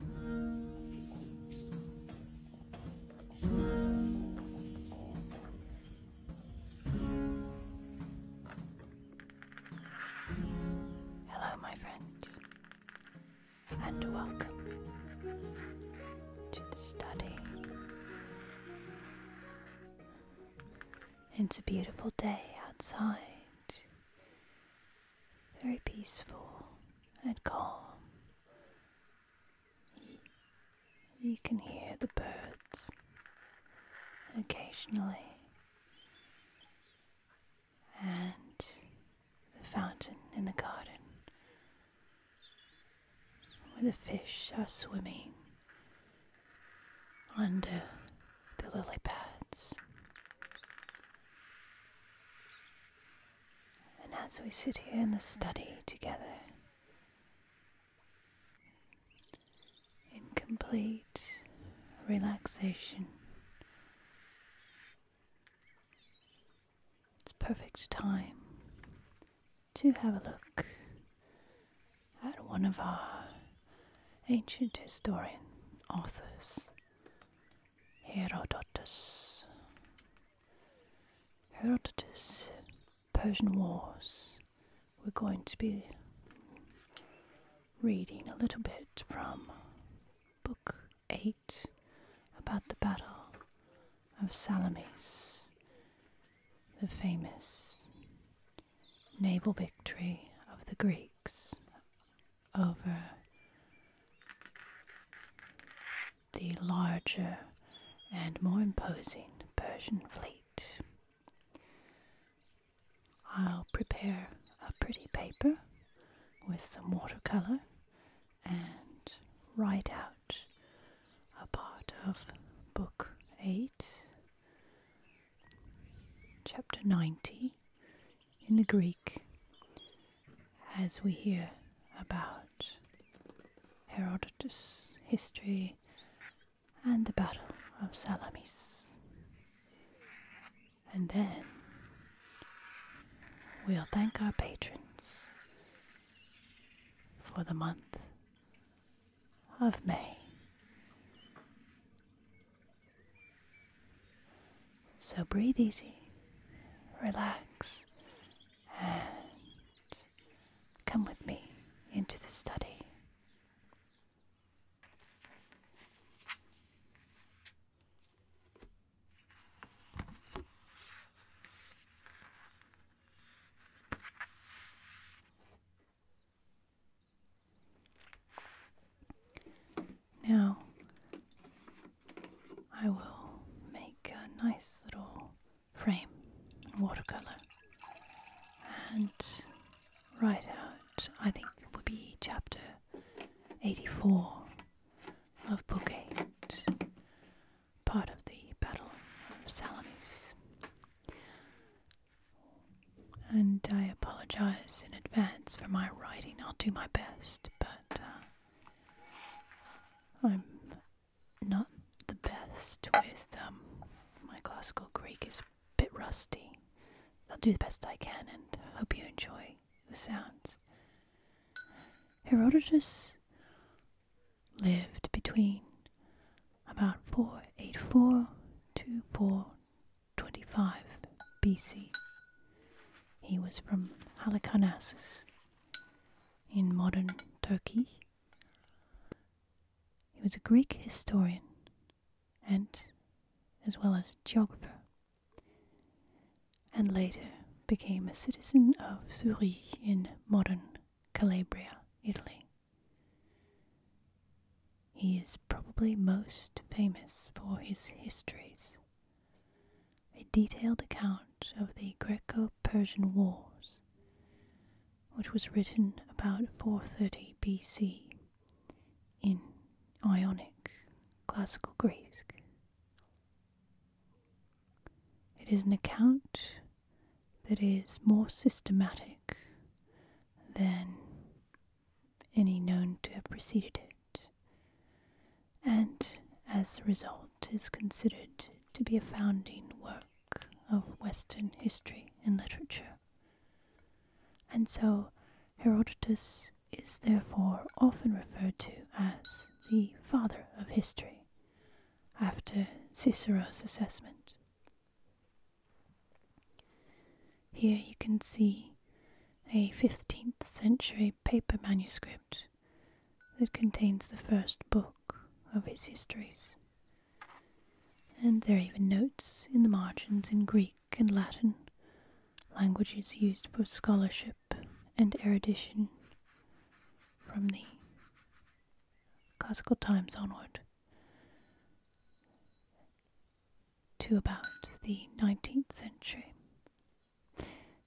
Hello, my friend, and welcome to the study. It's a beautiful day outside, very peaceful and calm. You can hear the birds occasionally, and the fountain in the garden where the fish are swimming under the lily pads. And as we sit here in the study together, in complete relaxation, it's perfect time to have a look at one of our ancient historian authors Herodotus. Herodotus, Persian Wars. We're going to be reading a little bit from Book 8 about the Battle of Salamis, the famous naval victory of the Greeks over the larger and more imposing Persian fleet. I'll prepare a pretty paper with some watercolor and write out a part of Book 8, Chapter 90 in the Greek, as we hear about Herodotus' history and the Battle of Salamis. And then we'll thank our patrons for the month of May. So breathe easy, relax, and come with me into the study. Now I will make a nice little frame in watercolor and write out, I think it will be chapter 84 of Book 8, part of the Battle of Salamis. And I apologize in advance for my writing, I'll do my best but uh, I'm not the best with um, my classical Greek is a bit rusty. I'll do the best I can and hope you enjoy the sounds. Herodotus lived between about 484 to 4 25 BC. He was from Halikarnassus in modern Turkey. He was a Greek historian and as well as geographer, and later became a citizen of Souris in modern Calabria, Italy. He is probably most famous for his histories, a detailed account of the Greco Persian Wars, which was written about 430 BC in Ionic Classical Greek. It is an account that is more systematic than any known to have preceded it, and as a result is considered to be a founding work of Western history and literature. And so Herodotus is therefore often referred to as the father of history, after Cicero's assessment. Here you can see a 15th century paper manuscript that contains the first book of his histories. And there are even notes in the margins in Greek and Latin, languages used for scholarship and erudition from the classical times onward to about the 19th century.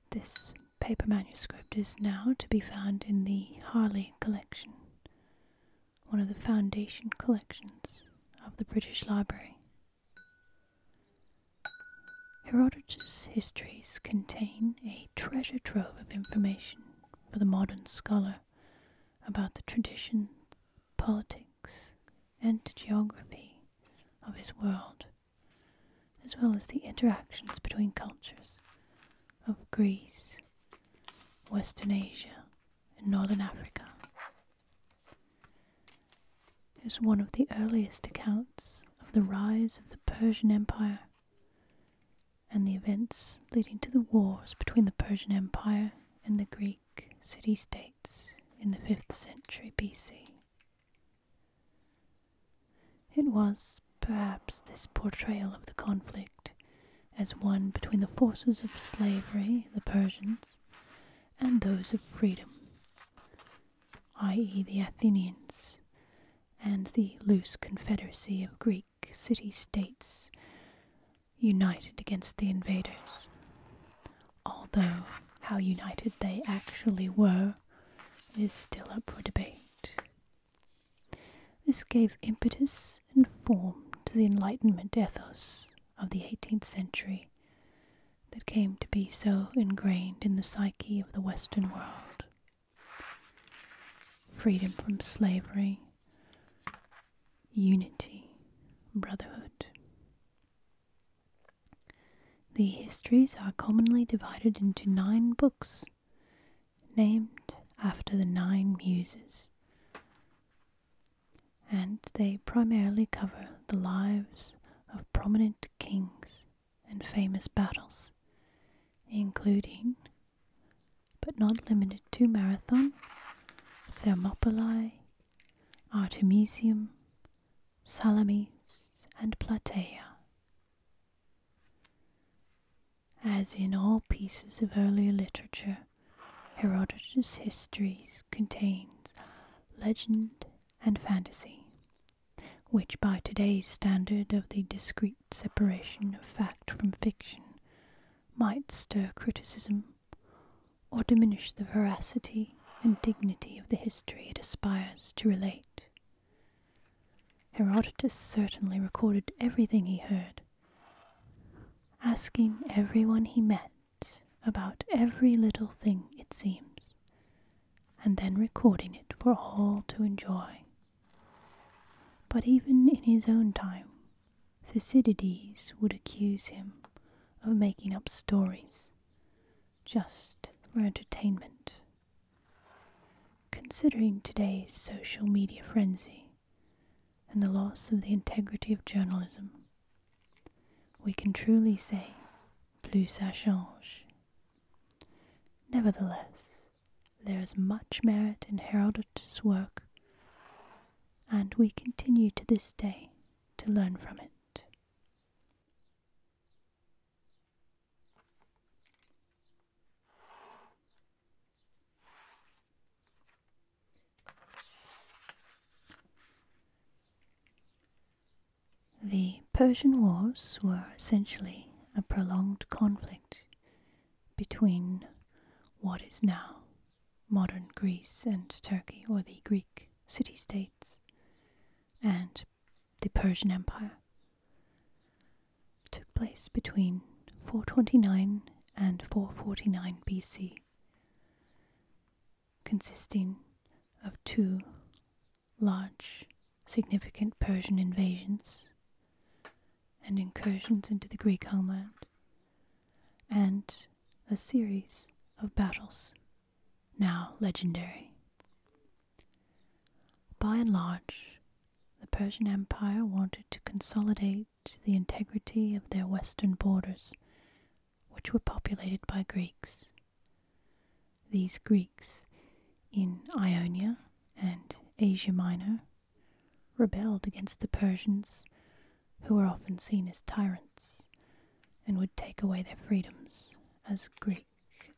This paper manuscript is now to be found in the Harley Collection, one of the foundation collections of the British Library. Herodotus' histories contain a treasure trove of information for the modern scholar about the traditions, politics, and geography of his world, as well as the interactions between cultures of Greece, Western Asia, and Northern Africa. is one of the earliest accounts of the rise of the Persian Empire and the events leading to the wars between the Persian Empire and the Greeks city states in the 5th century BC. It was, perhaps, this portrayal of the conflict as one between the forces of slavery, the Persians, and those of freedom, i.e., the Athenians, and the loose confederacy of Greek city states united against the invaders although how united they actually were is still up for debate. This gave impetus and form to the Enlightenment ethos of the 18th century that came to be so ingrained in the psyche of the Western world. Freedom from slavery, unity, brotherhood. The histories are commonly divided into nine books, named after the nine muses, and they primarily cover the lives of prominent kings and famous battles, including, but not limited to, Marathon, Thermopylae, Artemisium, Salamis, and Plataea. As in all pieces of earlier literature, Herodotus' histories contains legend and fantasy, which by today's standard of the discrete separation of fact from fiction might stir criticism or diminish the veracity and dignity of the history it aspires to relate. Herodotus certainly recorded everything he heard, asking everyone he met about every little thing, it seems, and then recording it for all to enjoy. But even in his own time, Thucydides would accuse him of making up stories just for entertainment. Considering today's social media frenzy and the loss of the integrity of journalism, we can truly say, plus ça change. Nevertheless, there is much merit in Herodotus' work, and we continue to this day to learn from it. The Persian Wars were essentially a prolonged conflict between what is now modern Greece and Turkey or the Greek city states and the Persian Empire took place between 429 and 449 BC, consisting of two large, significant Persian invasions and incursions into the Greek homeland, and a series of battles now legendary. By and large, the Persian Empire wanted to consolidate the integrity of their western borders, which were populated by Greeks. These Greeks, in Ionia and Asia Minor, rebelled against the Persians who were often seen as tyrants and would take away their freedoms as Greek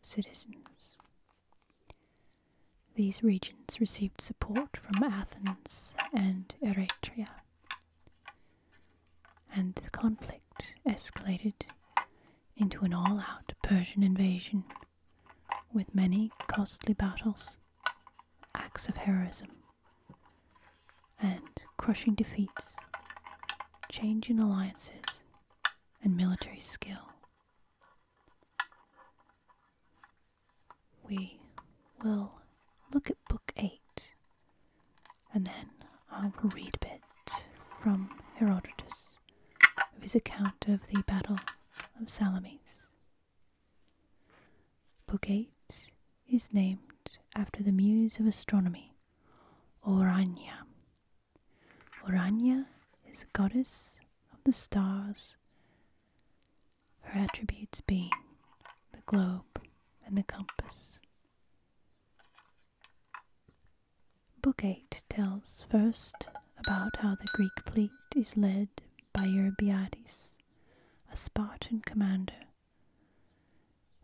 citizens. These regions received support from Athens and Eretria, and the conflict escalated into an all out Persian invasion with many costly battles, acts of heroism, and crushing defeats, change in alliances, and military skill. We will look at Book 8 and then I will read a bit from Herodotus of his account of the Battle of Salamis. Book 8 is named after the muse of astronomy Orania. Orania is a goddess of the stars, her attributes being the globe and the compass. Book 8 tells first about how the Greek fleet is led by Eurybiades, a Spartan commander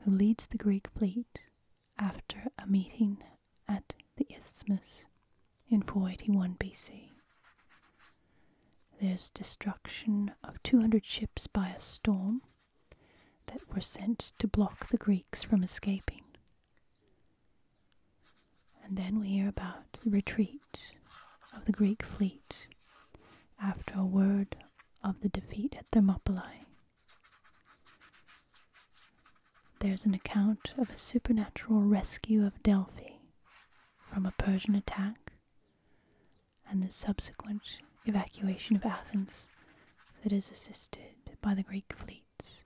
who leads the Greek fleet after a meeting at the Isthmus in 481 BC. There's destruction of 200 ships by a storm that were sent to block the Greeks from escaping. And then we hear about the retreat of the Greek fleet after a word of the defeat at Thermopylae. There's an account of a supernatural rescue of Delphi from a Persian attack and the subsequent evacuation of Athens that is assisted by the Greek fleets.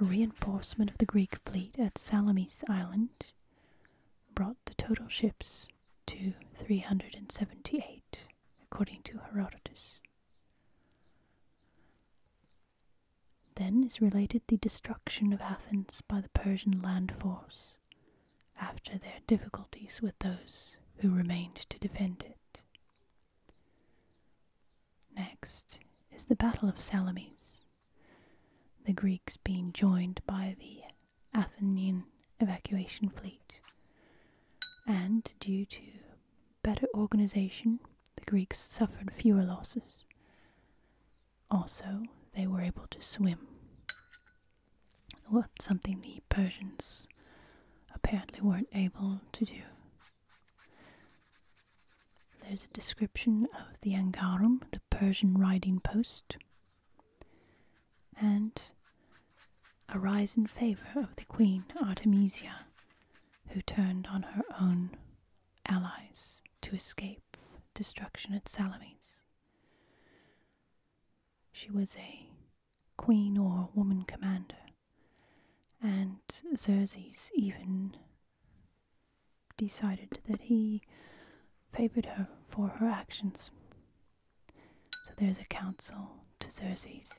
A reinforcement of the Greek fleet at Salamis Island brought the total ships to 378, according to Herodotus. Then is related the destruction of Athens by the Persian land force, after their difficulties with those who remained to defend it. Next is the Battle of Salamis, the Greeks being joined by the Athenian evacuation fleet. And due to better organization, the Greeks suffered fewer losses. Also, they were able to swim. Well, something the Persians apparently weren't able to do. There's a description of the Angarum, the Persian riding post, and arise in favour of the queen Artemisia, who turned on her own allies to escape destruction at Salamis. She was a queen or woman commander, and Xerxes even decided that he favoured her for her actions so there's a council to Xerxes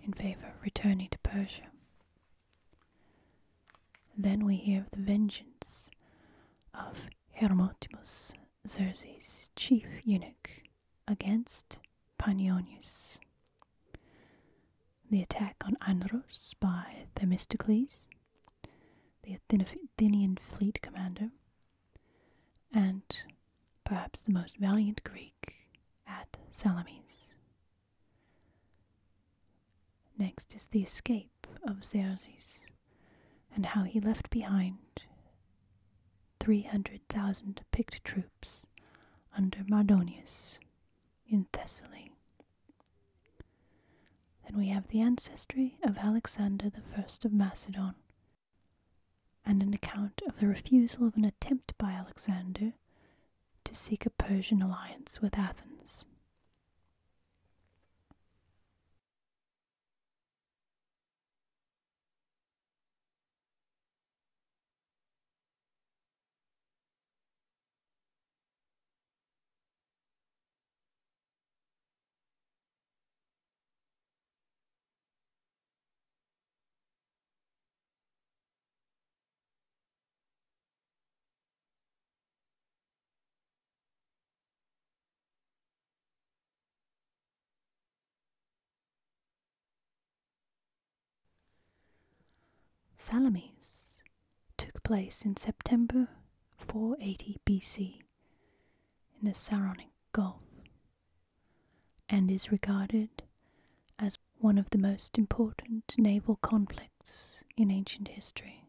in favor of returning to Persia. Then we hear of the vengeance of Hermotimus, Xerxes' chief eunuch, against Panionius. The attack on Andros by Themistocles, the Athenian fleet commander, and perhaps the most valiant Greek at Salamis. Next is the escape of Xerxes and how he left behind 300,000 picked troops under Mardonius in Thessaly. Then we have the ancestry of Alexander the First of Macedon, and an account of the refusal of an attempt by Alexander to seek a Persian alliance with Athens. Salamis took place in September 480 BC in the Saronic Gulf and is regarded as one of the most important naval conflicts in ancient history.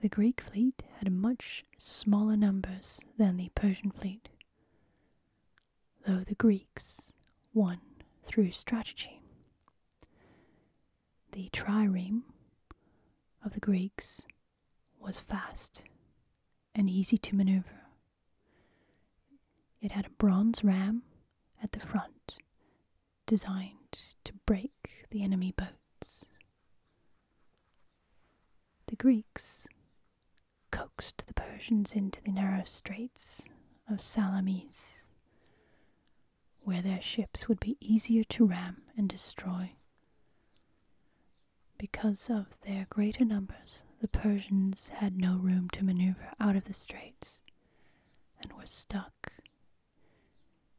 The Greek fleet had much smaller numbers than the Persian fleet, though the Greeks won through strategy the trireme of the Greeks was fast and easy to maneuver. It had a bronze ram at the front designed to break the enemy boats. The Greeks coaxed the Persians into the narrow straits of Salamis where their ships would be easier to ram and destroy. Because of their greater numbers, the Persians had no room to maneuver out of the straits and were stuck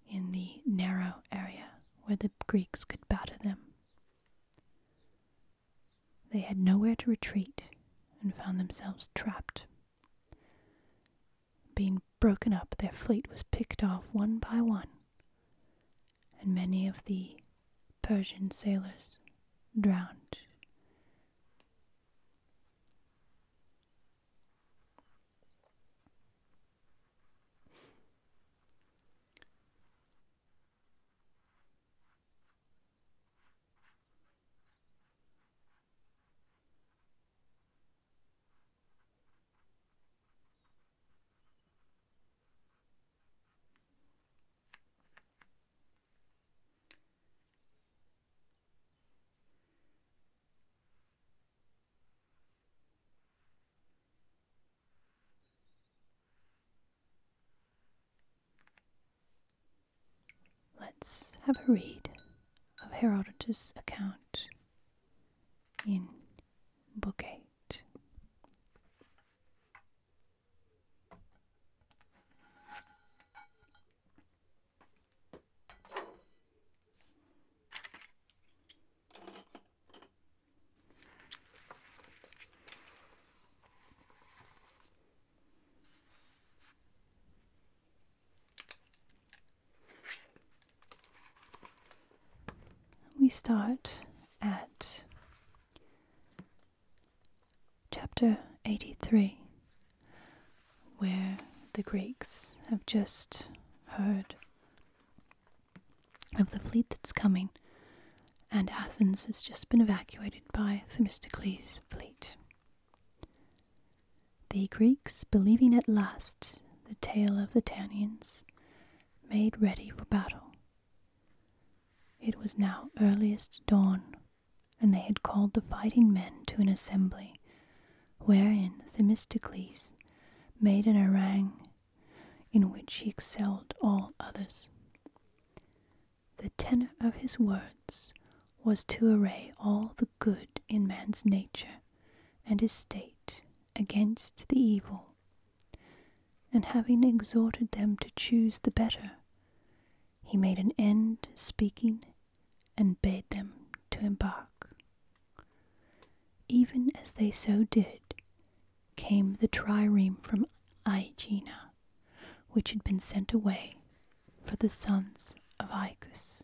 in the narrow area where the Greeks could batter them. They had nowhere to retreat and found themselves trapped. Being broken up, their fleet was picked off one by one, and many of the Persian sailors drowned. Let's have a read of Herodotus' account in Book 8. We start at chapter 83, where the Greeks have just heard of the fleet that's coming, and Athens has just been evacuated by Themistocles' fleet. The Greeks, believing at last the tale of the Tanians, made ready for battle. It was now earliest dawn, and they had called the fighting men to an assembly, wherein Themistocles made an harangue in which he excelled all others. The tenor of his words was to array all the good in man's nature and his state against the evil, and having exhorted them to choose the better, he made an end speaking and bade them to embark. Even as they so did, came the trireme from Aegina, which had been sent away for the sons of Icus.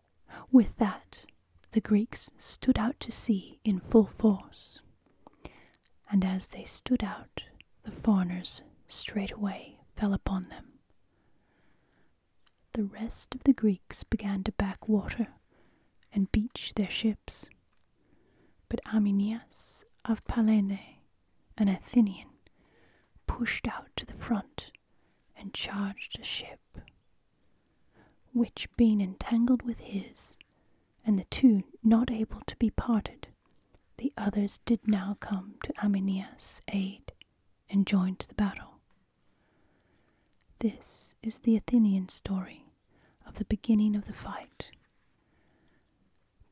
With that, the Greeks stood out to sea in full force. And as they stood out, the foreigners straightway fell upon them. The rest of the Greeks began to back water and beach their ships. But Arminias of Palene, an Athenian, pushed out to the front and charged a ship which being entangled with his, and the two not able to be parted, the others did now come to Aminias' aid and joined the battle. This is the Athenian story of the beginning of the fight.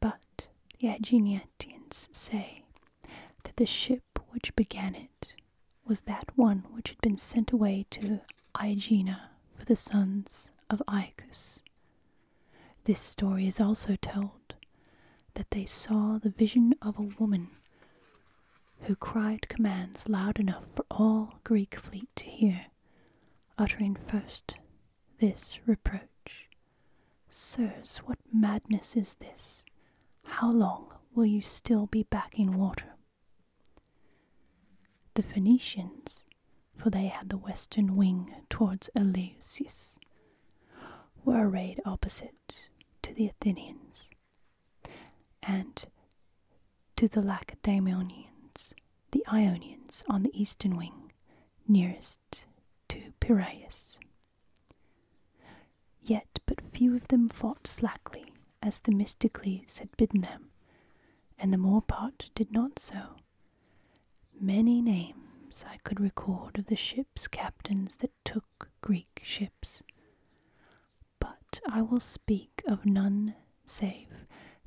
But the Aeginetians say that the ship which began it was that one which had been sent away to Aegina for the sons of Aeacus. This story is also told that they saw the vision of a woman who cried commands loud enough for all Greek fleet to hear, uttering first this reproach Sirs, what madness is this? How long will you still be back in water the Phoenicians, for they had the western wing towards Eleusis, were arrayed opposite to the Athenians and to the Lacedaemonians, the Ionians on the eastern wing, nearest to Piraeus. Yet but few of them fought slackly, as Themistocles had bidden them, and the more part did not so. Many names I could record of the ships' captains that took Greek ships, but I will speak of none save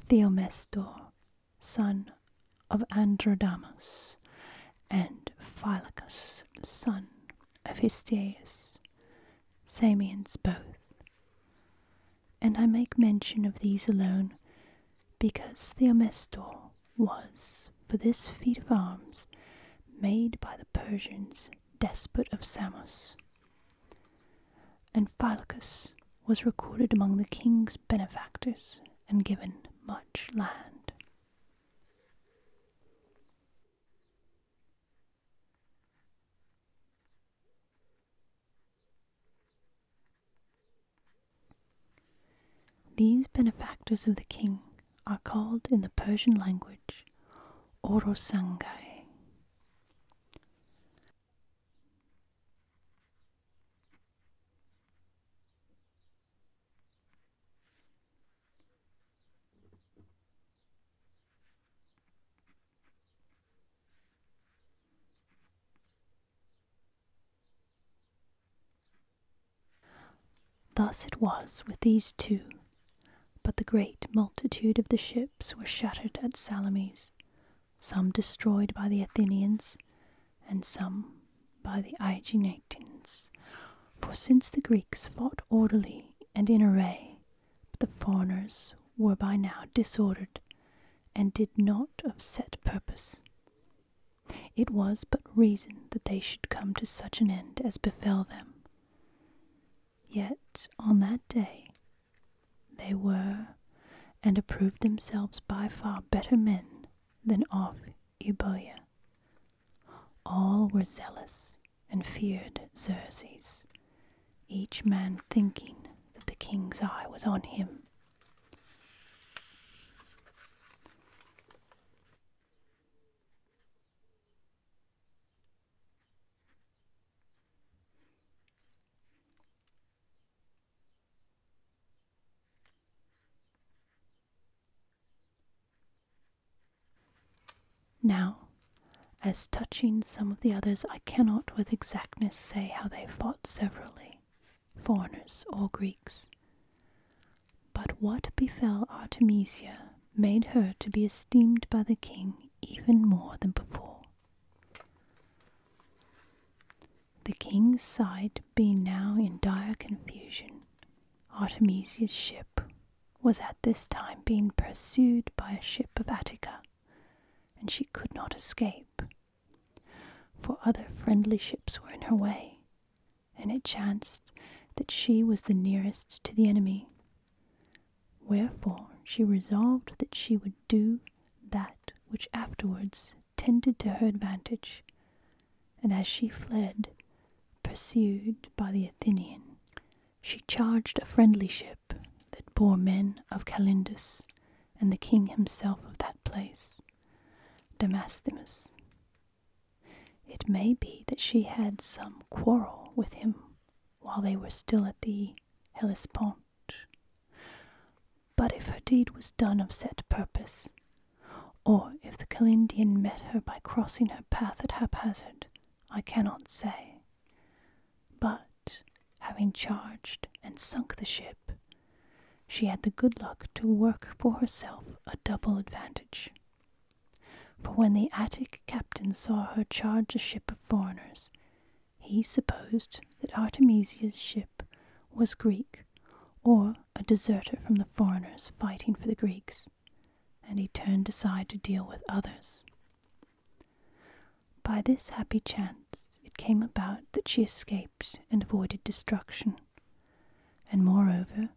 Theomestor, son of Androdamos, and Phylacus, son of Histiaeus, Samians both, and I make mention of these alone because the amestor was, for this feat of arms, made by the Persians despot of Samos. And Phylacus was recorded among the king's benefactors and given much land. These benefactors of the king are called in the Persian language Orosangai. Thus it was with these two, but the great multitude of the ships were shattered at Salamis, some destroyed by the Athenians, and some by the Aeginatans. For since the Greeks fought orderly and in array, the foreigners were by now disordered and did not of set purpose. It was but reason that they should come to such an end as befell them. Yet on that day they were and approved themselves by far better men than off Euboea. All were zealous and feared Xerxes, each man thinking that the king's eye was on him. Now, as touching some of the others, I cannot with exactness say how they fought severally, foreigners or Greeks. But what befell Artemisia made her to be esteemed by the king even more than before. The king's side being now in dire confusion, Artemisia's ship was at this time being pursued by a ship of Attica, and she could not escape, for other friendly ships were in her way, and it chanced that she was the nearest to the enemy. Wherefore she resolved that she would do that which afterwards tended to her advantage, and as she fled, pursued by the Athenian, she charged a friendly ship that bore men of Calindus and the king himself of that place, Damasthenes. It may be that she had some quarrel with him while they were still at the Hellespont. But if her deed was done of set purpose, or if the Calindian met her by crossing her path at haphazard, I cannot say. But, having charged and sunk the ship, she had the good luck to work for herself a double advantage. For when the Attic captain saw her charge a ship of foreigners, he supposed that Artemisia's ship was Greek, or a deserter from the foreigners fighting for the Greeks, and he turned aside to deal with others. By this happy chance it came about that she escaped and avoided destruction, and moreover,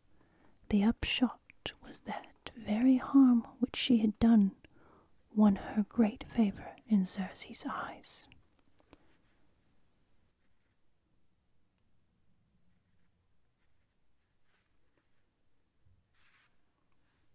the upshot was that very harm which she had done won her great favor in Xerxes' eyes.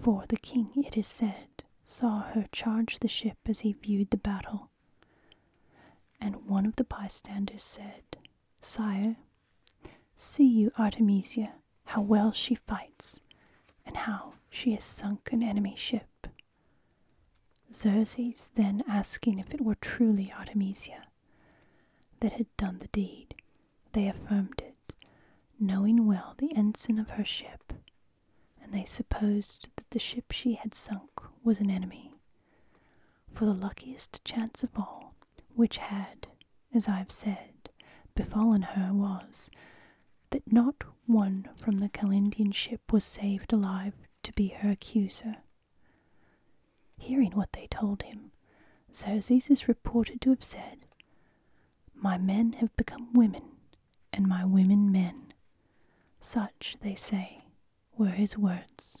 For the king, it is said, saw her charge the ship as he viewed the battle. And one of the bystanders said, Sire, See you, Artemisia, how well she fights, and how she has sunk an enemy ship. Xerxes then asking if it were truly Artemisia that had done the deed, they affirmed it, knowing well the ensign of her ship, and they supposed that the ship she had sunk was an enemy. For the luckiest chance of all, which had, as I have said, befallen her was, that not one from the Calendian ship was saved alive to be her accuser. Hearing what they told him, Xerxes is reported to have said, My men have become women, and my women men. Such, they say, were his words.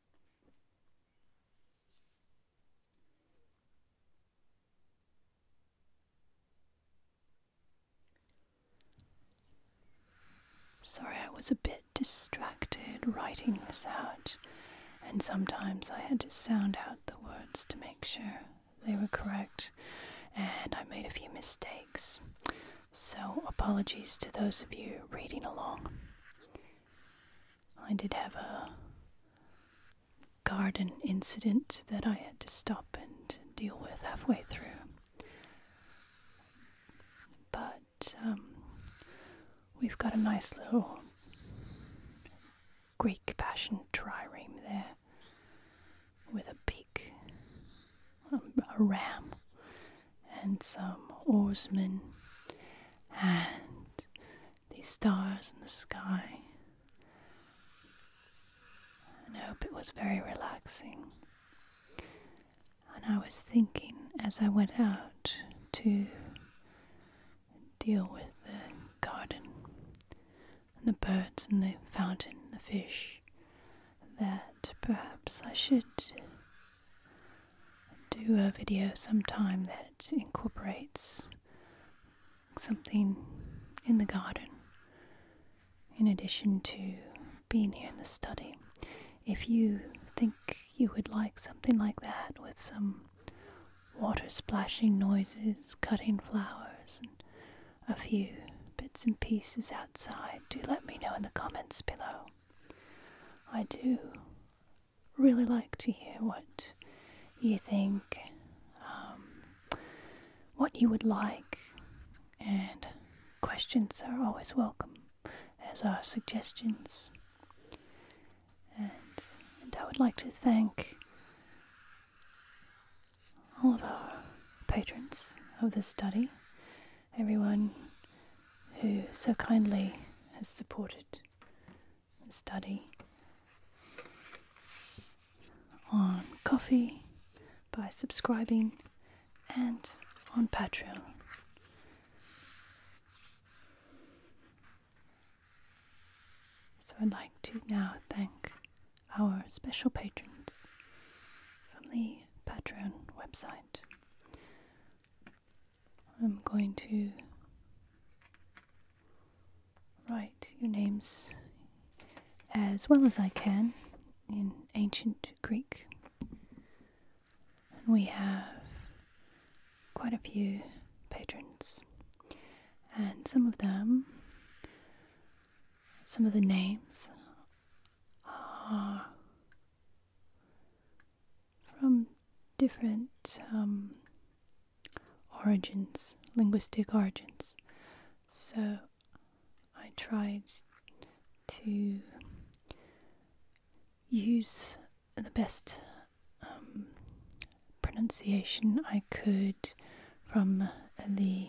Sorry, I was a bit distracted writing this out, and sometimes I had to sound out the words to make sure they were correct, and I made a few mistakes. So, apologies to those of you reading along. I did have a garden incident that I had to stop and deal with halfway through. But um, we've got a nice little Greek passion trireme there with a beak a ram and some oarsmen and the stars in the sky. I hope it was very relaxing. And I was thinking as I went out to deal with the garden and the birds and the fountain and the fish that perhaps I should do a video sometime that incorporates something in the garden in addition to being here in the study. If you think you would like something like that with some water splashing noises, cutting flowers, and a few bits and pieces outside, do let me know in the comments below. I do really like to hear what you think, um, what you would like, and questions are always welcome, as are suggestions. And, and I would like to thank all of our patrons of this study everyone who so kindly has supported the study on Coffee by subscribing and on Patreon. So I'd like to now thank our special patrons from the Patreon website. I'm going to write your names as well as I can in ancient Greek. And we have quite a few patrons, and some of them, some of the names are from different um, origins, linguistic origins. So I tried to use the best um, pronunciation I could from the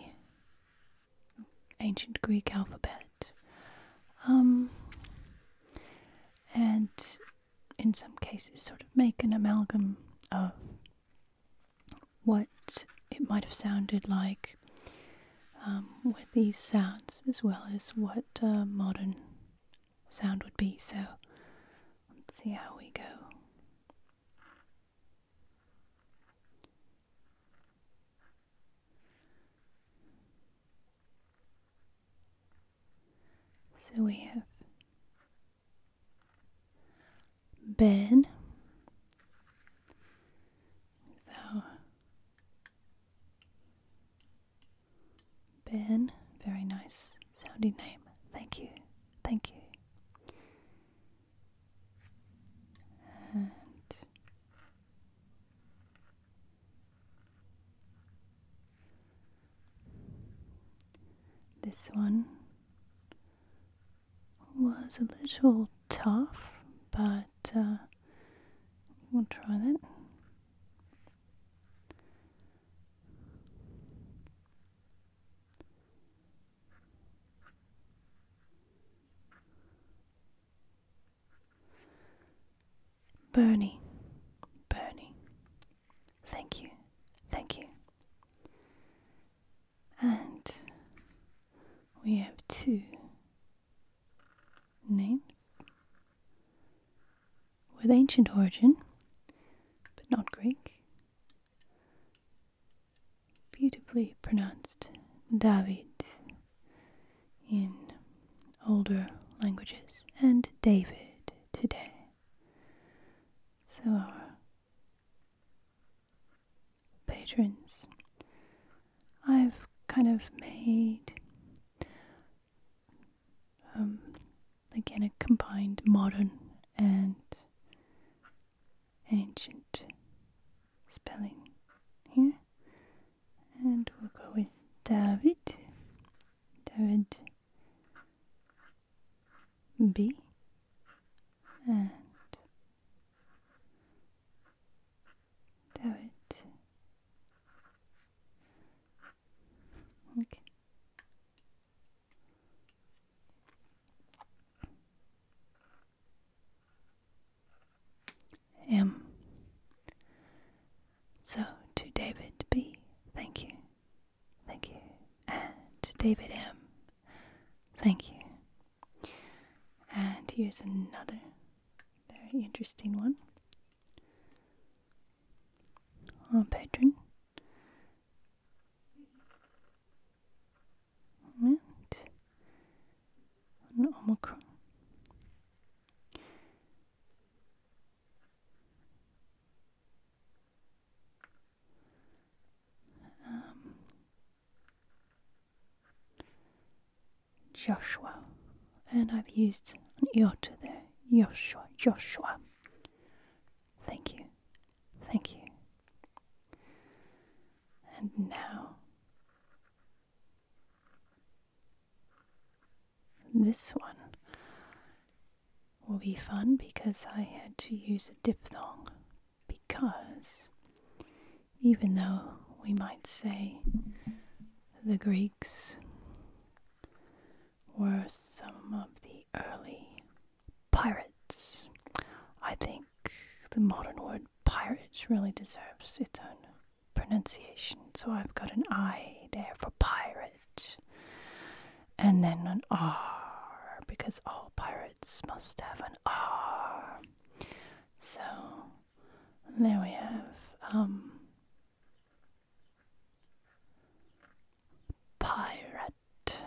ancient Greek alphabet. Um, and in some cases, sort of make an amalgam of what it might have sounded like um, with these sounds, as well as what a uh, modern sound would be. So, let's see how we go. So we have Ben. with our very nice sounding name. Thank you, thank you. This one was a little tough, but uh, we'll try that. Bernie, Bernie, thank you, thank you. And we have two names with ancient origin, but not Greek. Beautifully pronounced David in older languages, and David today. So, our patrons, I've kind of made um, again a combined modern and ancient spelling here. And we'll go with David. David B. And David. Okay. M. So to David B, thank you, thank you, and to David M, thank you. And here's another very interesting one. Our patron. And and Omicron. Um, Joshua, and I've used an iota there. Joshua, Joshua. Thank you, thank you. And now this one will be fun because I had to use a diphthong. Because even though we might say the Greeks were some of the early pirates, I think the modern word pirate really deserves its own pronunciation. So I've got an I there for pirate, and then an R because all pirates must have an R. So there we have um, pirate,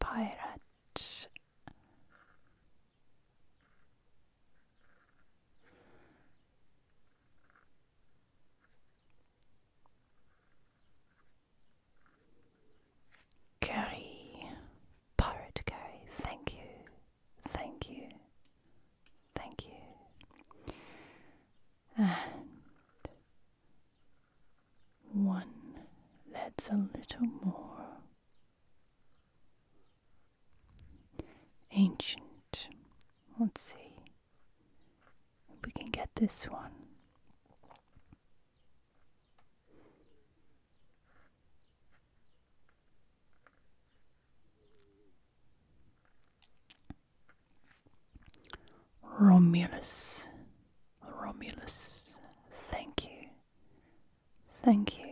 pirate. Gary, Pirate Gary, thank you, thank you, thank you. And one that's a little more Ancient. Let's see. We can get this one. Romulus. Romulus. Thank you. Thank you.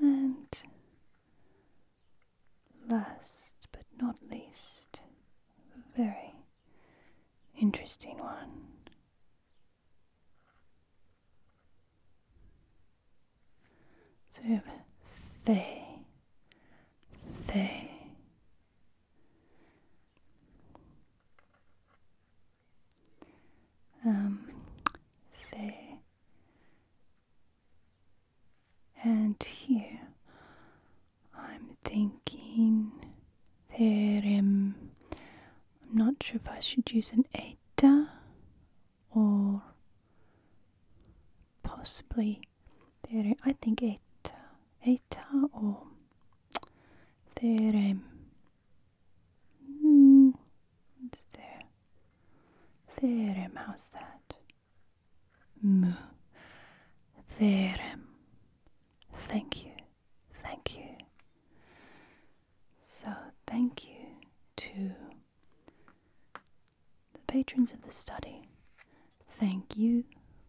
And last but not least, a very interesting one. So we have they, they. Um, there. And here I'm thinking there, um, I'm not sure if I should use an eta or possibly there, I think eta, eta or theorem um, Hmm, that? M. Thank you, thank you. So, thank you to the patrons of the study. Thank you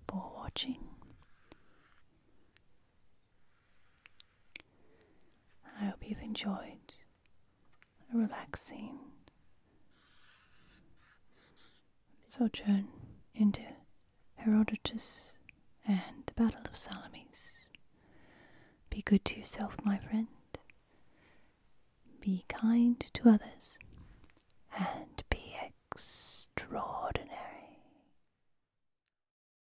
for watching. I hope you've enjoyed a relaxing sojourn into Herodotus and the Battle of Salamis. Be good to yourself, my friend. Be kind to others. And be extraordinary.